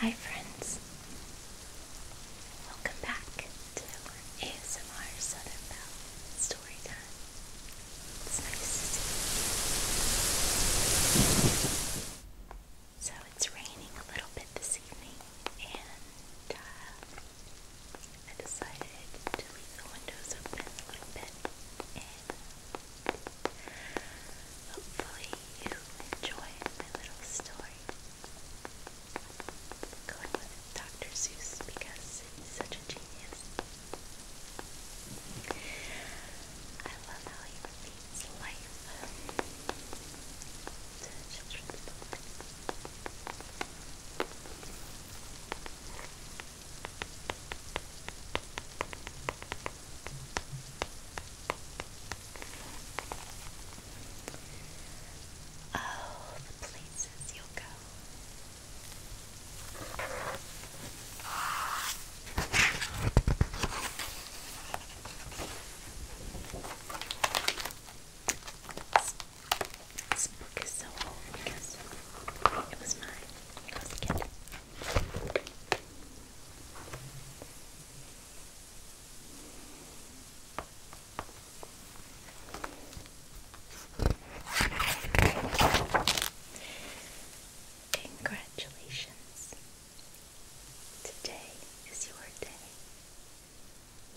Hi, friends. Welcome back to ASMR Southern Belle Story It's nice you. So it's raining a little bit this evening, and uh, I decided to leave the windows open a little bit, and hopefully you enjoy my little story going with Dr. Seuss because he's such a genius. I love how he repeats life Oh, places you'll go. This, book is so old it was mine when was a Congratulations. Today is your day.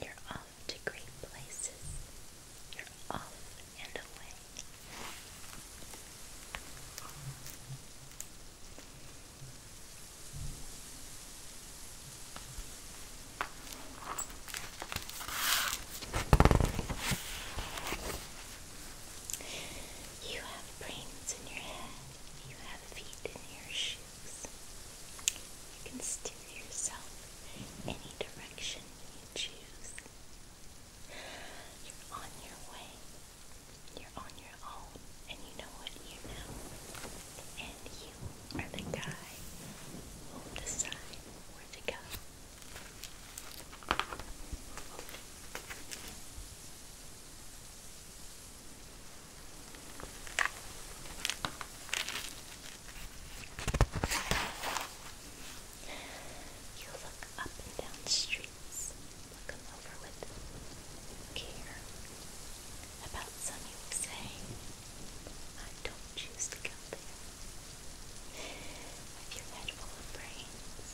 You're off to great places. You're off and away. You have brains in your head. You have feet in your shoes. You can steer yourself any direction you choose. You're on your way. You're on your own, and you know what you know and you are the guy who will where to go. You look up and down streets, look over with care about something you were saying. I don't choose to go there. With your head full of brains,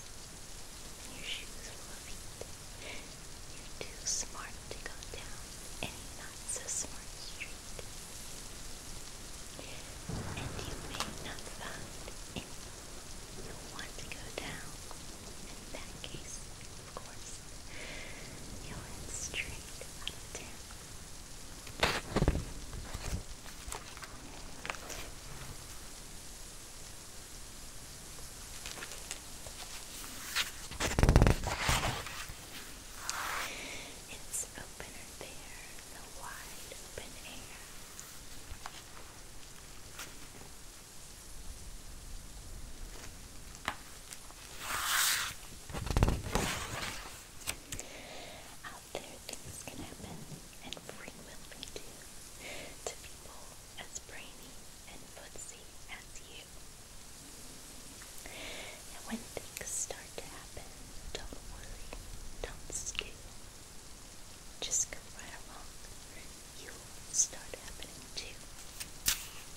and your shoes full of feet, you're too smart to go down any not so smart street. And you may not find any you want to go down. In that case, of course. You went straight out of It's opener there the wide open air. Out there, things can happen, and frequently do, to people as brainy and footsy as you. And when things start to happen, don't worry, don't stew. Just go right along. You'll start happening too.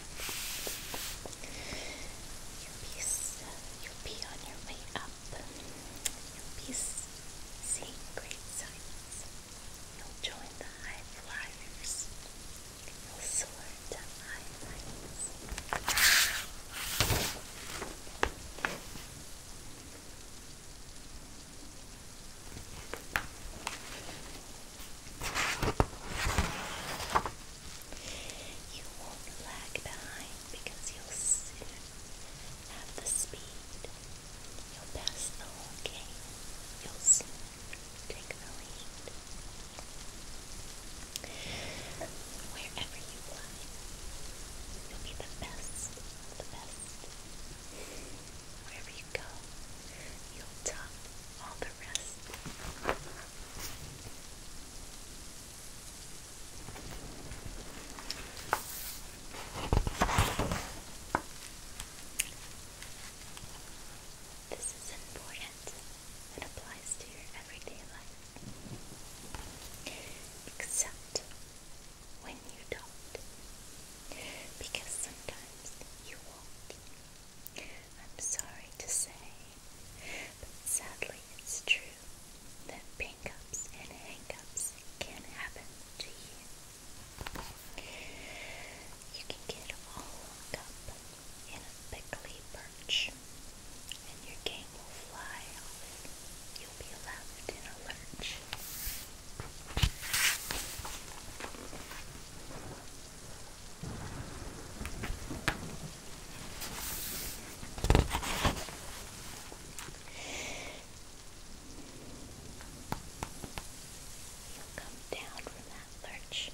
You'll be, you'll be on your way up. You'll be great sights. You'll join the high flyers. You'll soar to high heights. You won't lag behind because you'll soon have the speed. You'll pass the whole game. You'll soon take the lead. Wherever you fly, you'll be the best the best. Wherever you go, you'll top all the this is important and applies to your everyday life, except when you don't, because sometimes you won't. I'm sorry to say, but sadly it's true that pink and hangups can happen to you. You can get all hung up in a prickly perch, and your game will fly off. You'll be left in a lurch. You'll come down from that lurch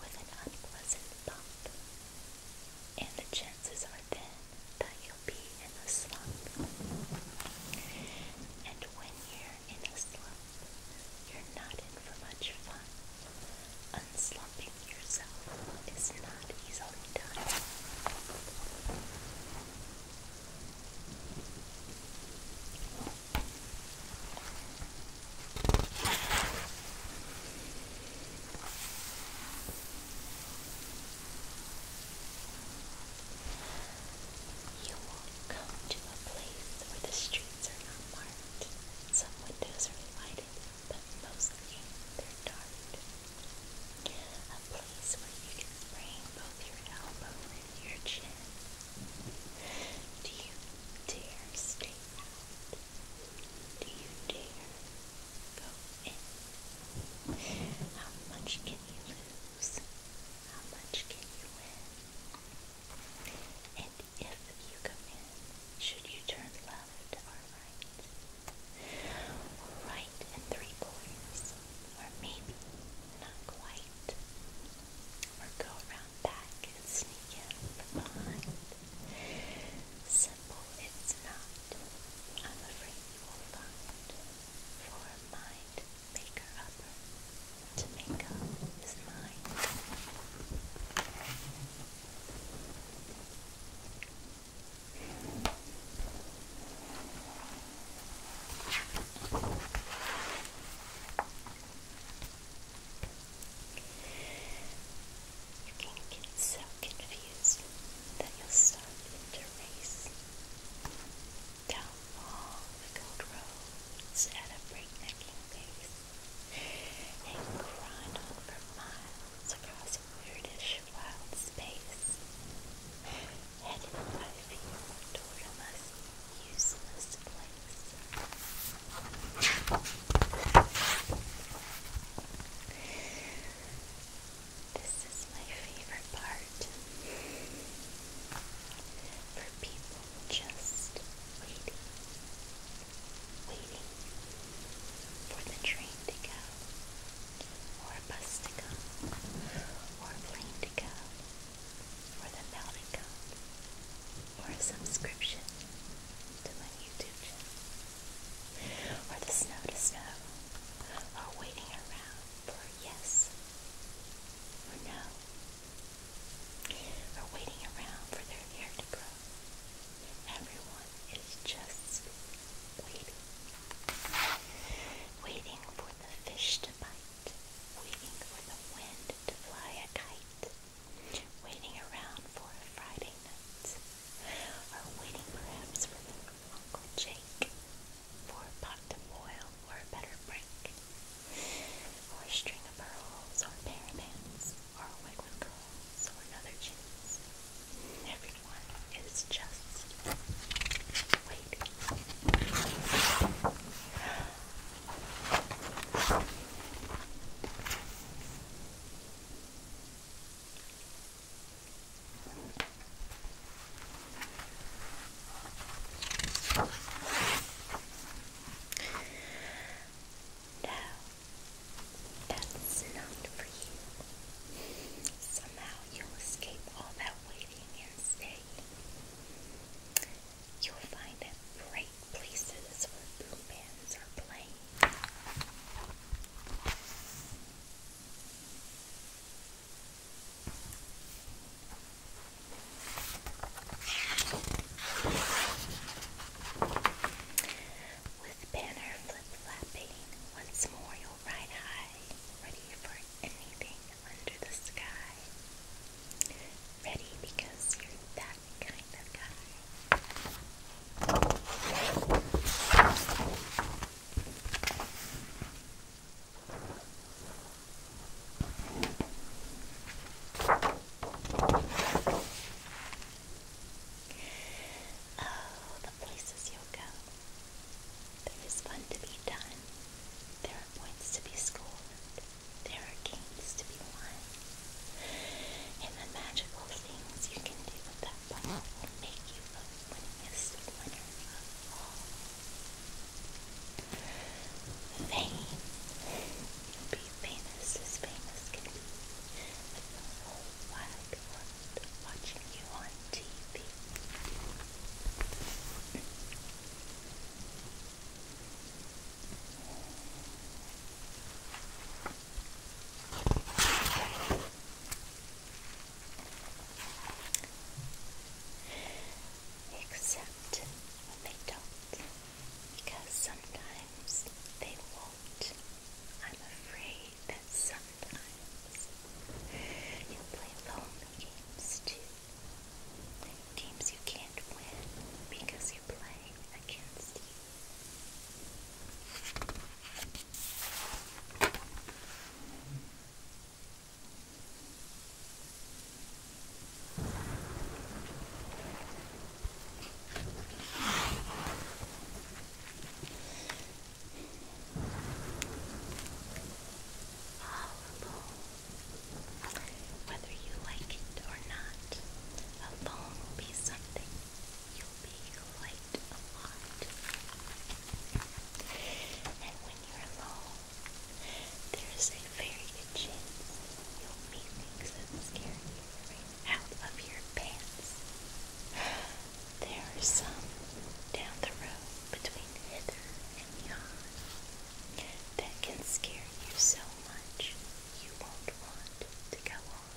with an unpleasant bump, and the chances are then that you'll be in a slump. And when you in a slump, you're not in for much fun. Unslumping yourself is not easily done. You come to a place where the streets are not marked. Some windows are lighted, but mostly they're dark. A place where you can sprain both your elbow and your chin. Do you dare stay out? Do you dare go in? How much can you lose? How much can you win? And if you come should you turn left or right? right and three quarters, or maybe not quite. Or go around back and sneak in from behind. Simple it's not, I'm afraid you will find, for mind to make up his mind, You can get so confused that you'll start to race down along cold roads at a breaknecking pace and grind on for miles across a weirdish wild space, headed by fear toward a useless place. This is my favorite part. For people just waiting, waiting for the train to go, or a bus to come, or a plane to go, or the mail to come, or a subscription to my YouTube channel, or the snow to snow, or waiting around for yes or no are waiting around for their hair to grow. Everyone is just waiting. Waiting for the fish to bite. Waiting for the wind to fly a kite. Waiting around for a Friday night. Or waiting perhaps for Uncle Jake for a pot to boil or a better break or a string of pearls, or a or a wig with or another chance. Everyone is just waiting. No, that's not for you. Somehow you'll escape all that waiting and staying. You'll find at great places where boom are playing. With banner flapping once more you'll ride high, ready for anything under the sky. Ready because you're that kind of guy. Oh, the places you'll go. There is fun to be done. There are points to be scored. There are games to be won. And the magical things you can do with that ball will make you the winningest winner of Fame. Be famous as famous can be. the whole wide world watching you on TV. Except they don't, because sometimes they won't, I'm afraid that sometimes you play lonely games too. Games you can't win because you play against you. Horrible. Whether you like it or not, alone will be something you'll be quite a lot. And when you're alone, there's a very good chance you'll meet things that scare you right out of your pants. There are some down the road between hither and yon that can scare you so much you won't want to go on.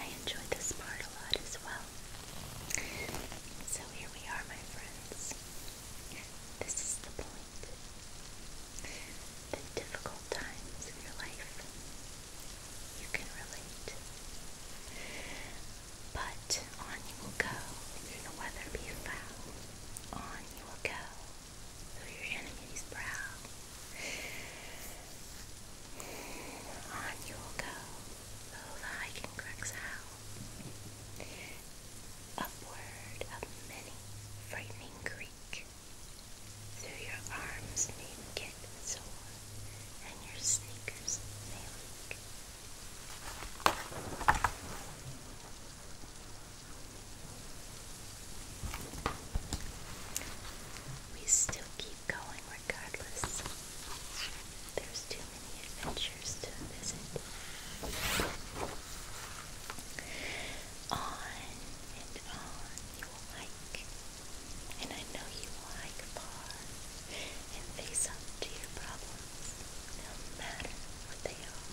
I enjoyed this part a lot as well. So here we are, my friends. This is the point. The difficult times of your life. You can relate. But on you will go, and the weather be foul. On you will go, through your enemy's brow. On you will go, though thy king cracks out. Upward of many frightening creek. Through your arms may get sore, and your sneakers may leak. We still keep going regardless. There's too many adventures to visit. On and on you will hike, and I know you will hike far and face up to your problems, no matter what they are.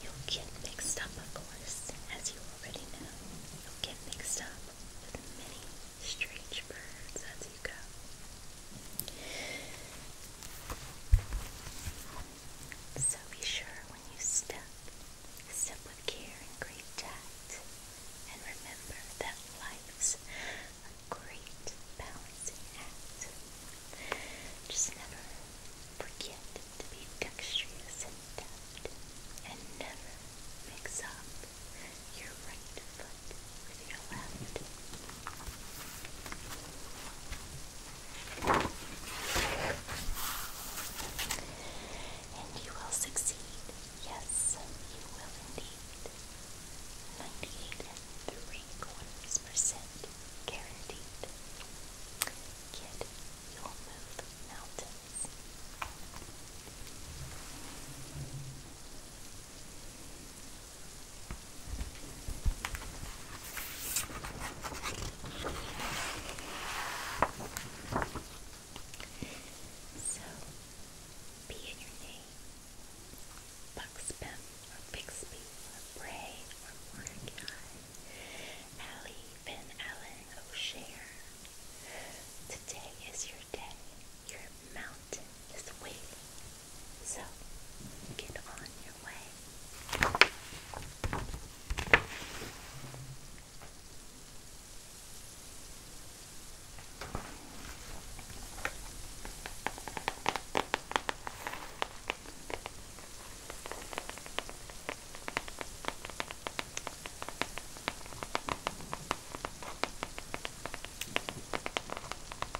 You'll get mixed up, of course, as you already know. You'll get mixed up with many strange birds as you go. So be sure when you step, step with care and great tact, and remember that life's a great balancing act. Just never forget to be dexterous and deft, and never mix up your right foot with your left. And you will succeed. Yes, you will indeed. 98 and 3 quarters percent guaranteed. Kid, you'll move mountains. So, be in your name, Buckspin or Bixby or Bray or Mordecai, Allie, Ben Allen, O'Share. Today is your day. Your mountain is waiting so get on your way.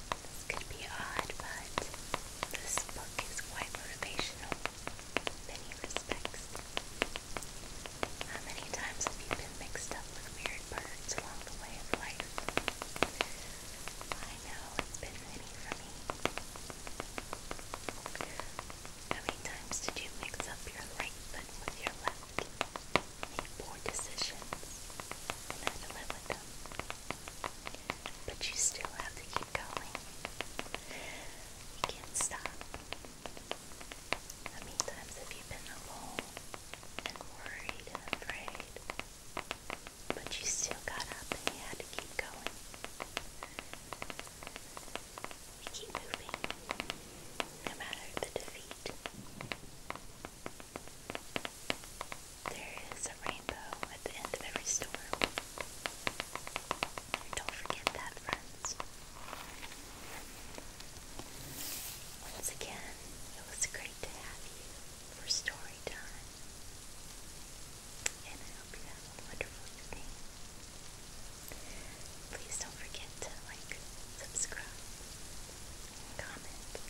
This could be odd, but this book is quite motivational in many respects. How many times have you been mixed up with weird birds along the way of life? I know it's been many for me. How many times did you mix up your right foot with your left? Make poor decisions and have to live with them. But you still have to keep going. You can't stop. How many times have you been alone and worried and afraid? But you still got up and you had to keep going. We keep moving, no matter the defeat. There is a rainbow at the end of every storm. Don't forget that, friends. Once again, it was great to have you for story time. And I hope a wonderful evening. Please don't forget to like, subscribe, and comment.